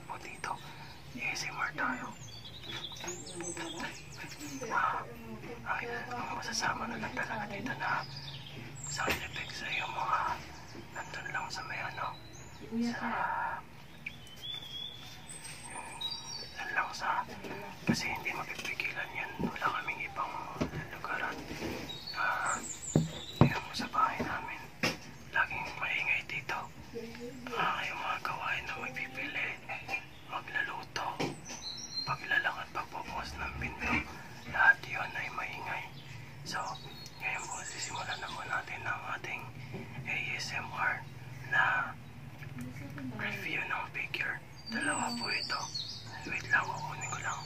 gagawin mo dito? ASMR tayo. Ah, ay, ang masasama na lang talaga dito na sound effect sa iyo mga nandun lang sa may ano, sa nandun lang sa kasi hindi mapipigilan yan. Wala kaming ibang lugaran. Ah, yun sa bahay namin. Laging maingay dito. Ah, yung mga gawain na magpipili, magluluto, paglalang at pagpupukas ng pinto, lahat yun ay maingay. So, ngayon po, sisimulan na po natin ang ating ASMR na review ng figure. Dalawa po ito. Wait lang, kukunin ko lang.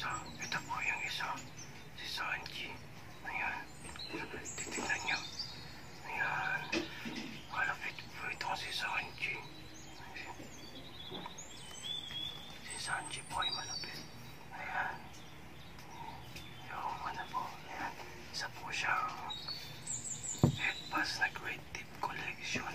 So, ito po yung isa si Sanji. Ayan. Titignan niyo. Ayan. Malapit po itong si Sanji. Ayan. Si Sanji po ay malapit. Ayan. Yung ano po. Ayan. Isa po siyang headpass na great tip collection.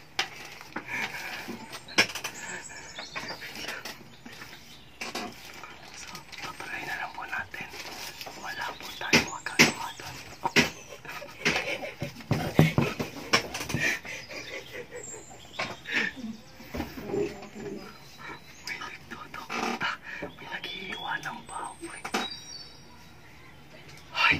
So, patuloy na lang po natin. Wala po tayo magagawa doon. Okay. May nagtutok May naghihiwa ng baboy. Ay!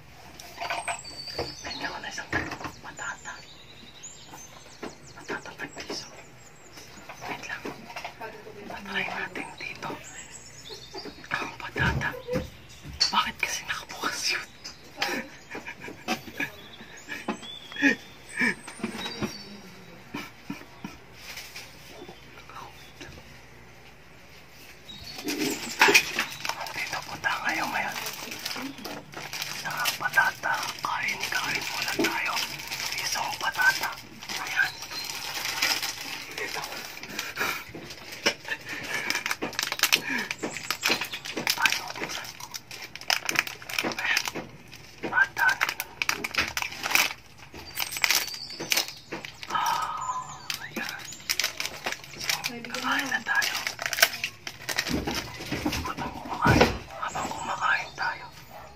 Kailangan na isang katulog matatag. Matatag ng piso. Wait lang. Patry natin dito. Ang patata. Bakit kasi nakabukas yun? Dito punta kayo ngayon ng patata. Kain-kain muna tayo. Isang patata. Ayan. Ito. Ano? Ayaw ko sa Ah, ayan. So, kain na tayo. Habang kumakain, habang kumakain tayo,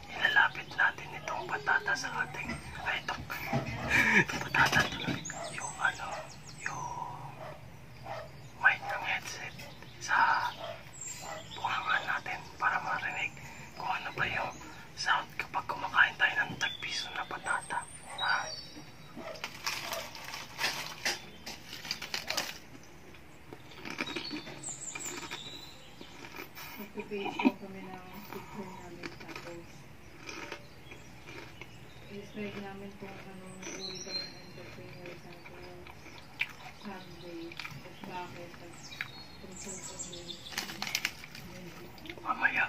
ilalapit natin itong patata sa ating, ay itong, itong patata tuloy, yung ano, yung mic ng headset sa bungangan natin para marinig kung ano ba yung sound kapag kumakain tayo ng tagpiso na patata. Ha? Nag-base lang kami ng picture namin tapos i-describe namin kung anong uri kami ng entrepreneur tapos Sunday at bakit at kung saan kami mamaya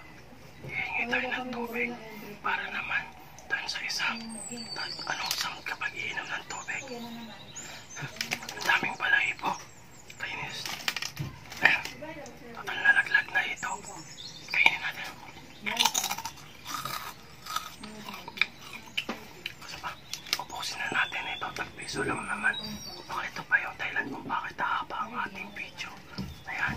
Hihingi tayo ng tubig para naman doon sa isa. Anong isang kapag iinom ng tubig? Ang daming balahibo. Kainis. Ayan. Total nalaglag na ito. Kainin natin. Basta pa, ubusin na natin ito. Tagpiso lang naman. Baka ito pa yung Thailand kung bakit haba ang ating video. Ayan.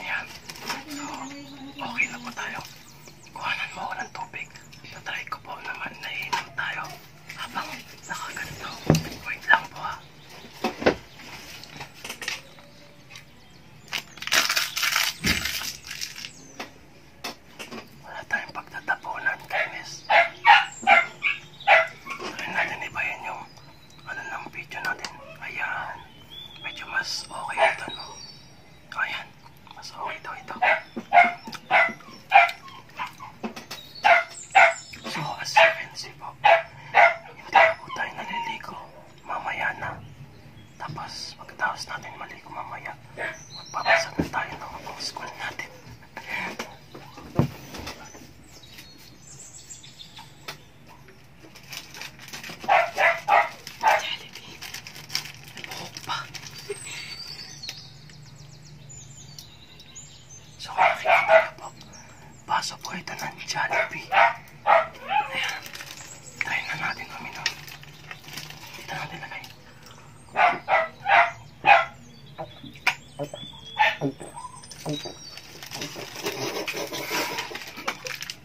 Ayan. So, okay na po tayo. Kuhanan mo ako ng tubig. Natry ko po naman na iinom tayo. Habang nakaganto. Wait lang po ha. Ah. Wala tayong pagtatapunan, Dennis. Try natin ibahin yung ano ng video natin. Ayan medyo mas okay ito, no? Oh, ayan, mas okay daw ito. So, as you can see po, hindi na po tayo naliligo mamaya na. Tapos, pagkatapos natin maligo mamaya, magpapasa na tayo ng mga school natin. Jollibee. May buhok pa. so kung nakikita niyo po, baso po ito ng Jollibee. Ayan. Try na natin uminom. Dito natin lagay. Thank you. So,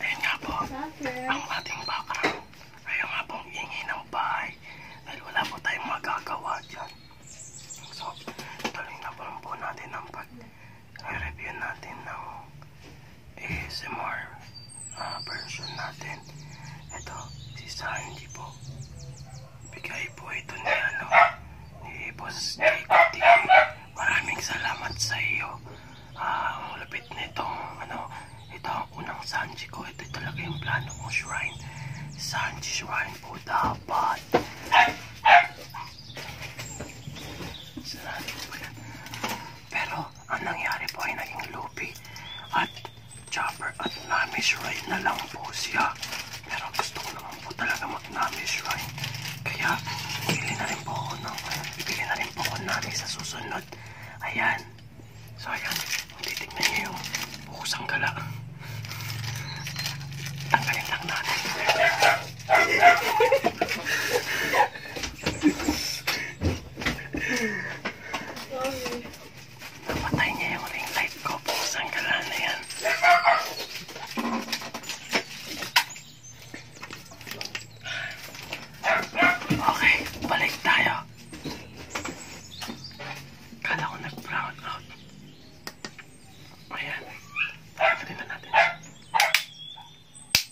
ayun nga po. Ang ating background. Ayun nga pong ingi ng bahay. Dahil wala po tayong magagawa dyan. So, tuloy na po, po natin ang pag-review natin ng ASMR uh, version natin. Ito, si Sanji po. Bigay po ito ni ano, ni Boss Jacob TV. Maraming salamat sa iyo. Uh, ang lupit nitong ano, ito ang unang Sanji ko. Ito talaga yung plano kong shrine. Sanji shrine po dapat. Sarado po yan. Pero, ang nangyari po ay naging loopy at chopper at namish ride na lang po siya. Pero gusto ko naman po talaga mag namish ride. Kaya bibili na rin po ako ng, bibili na rin po ako namish sa susunod. Ayan. So ayan, kung titignan niyo yung bukusang gala. Tanggalin lang natin. Napatay niya yung ring light ko. Pusang kalaan na yan. Okay, balik tayo. Kala ko nag-brown out. Ayan. Tuloy na natin.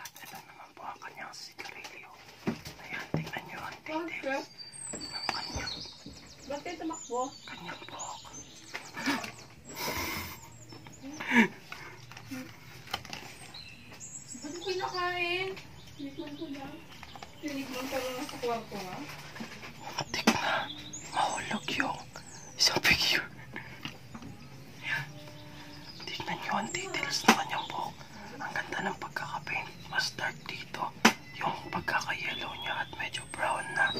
At ito naman po ang kanyang sigarilyo. Ayan, tingnan nyo ang tindig okay. ng kanyang. Bakit tumakbo? Kanyang buhok. Ba't ko nakain? Hindi ko ko lang. Tinigman pa lang sa kwarto nga. Matik na. Mahulog yung isang figure. Ayan. Tignan nyo ang details ng kanyang buhok. Ang ganda ng pagkakapaint. Mas dark dito. Yung pagkaka-yellow niya at medyo brown na.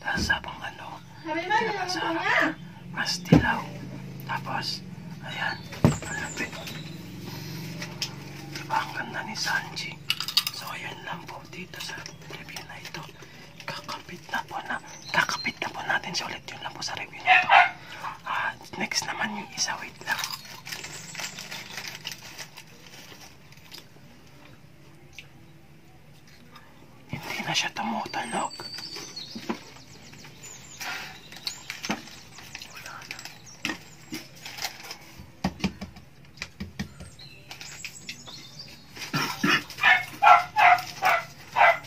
Tapos habang ano, naman sa harap, mas dilaw. Tapos, ayan, malapit. Diba ang ganda ni Sanji? So, ayan lang po dito sa review na ito. Kakapit na po na, kakapit na po natin siya ulit. Yun lang po sa review na ito. Ah, next naman yung isa. Wait lang. Hindi na siya tumutunog. Wala na.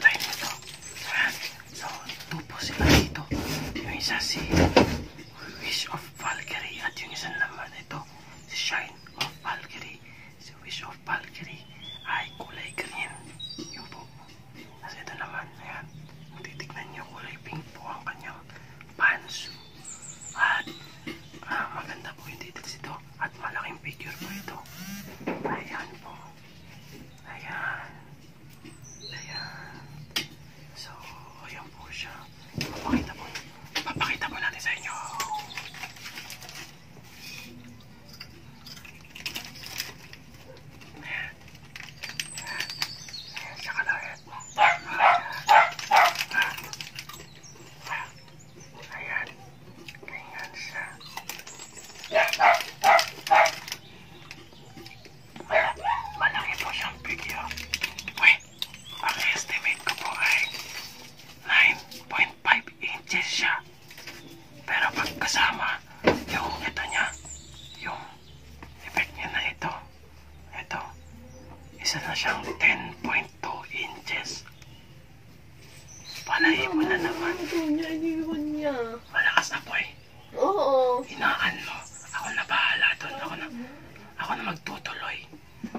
Tayo nito. So, yan. So, tupo sila dito. Yung isa si Wish of Valkyrie at yung isa naman ito si Shine of Valkyrie. Si Wish of Valkyrie ay kulay green. Yung po. Tapos ito naman, ayan. Kung titignan nyo, kulay pink po ang kanyang pants. At uh, maganda po yung details ito. At malaking figure po ito. Ayan po. Ayan. Ayan. So, ayan po siya. Papakita po. Papakita po natin sa inyo. Ayan. Ayan. Ayan siya kalawin. Ayan. Ganyan siya. Ayan. Malaki po siyang video. Wait, ang estimate ko po ay 9.5 inches siya. Pero pagkasama, yung ito niya, yung effect niya na ito, ito, isa na siyang 10.2 inches. Palayin mo na naman. Ito niya, yun niya. Ah. Malakas apoy. Eh. Oo. Inaan mo. Ako na bahala doon. Ako na, ako na magtutuloy.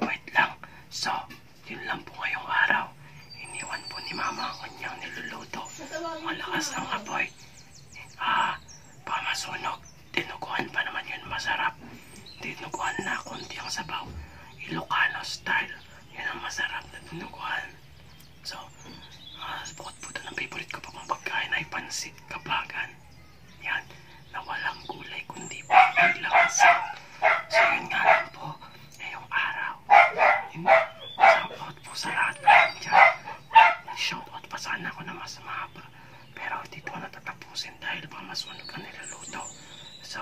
Wait lang. So, yun lang po ngayong araw. Iniwan po ni Mama ang kanyang niluluto. Malakas ang apoy. Eh. Ah, baka masunog. Dinuguan pa naman yun masarap. Dinuguan na konti ang sabaw. Ilocano style. Yan ang masarap na dinuguan. So, uh, bukod po doon ang favorite ko pa pong pagkain ay pansit kabagan. Yan, na walang gulay kundi po ang lansang. So, yun nga lang po, ngayong araw. Yun, shoutout po sa lahat ng dyan. Nag-shoutout pa sana ako na mas mahaba. Pero dito ko natatapusin dahil pa mas unog ang niluluto. So,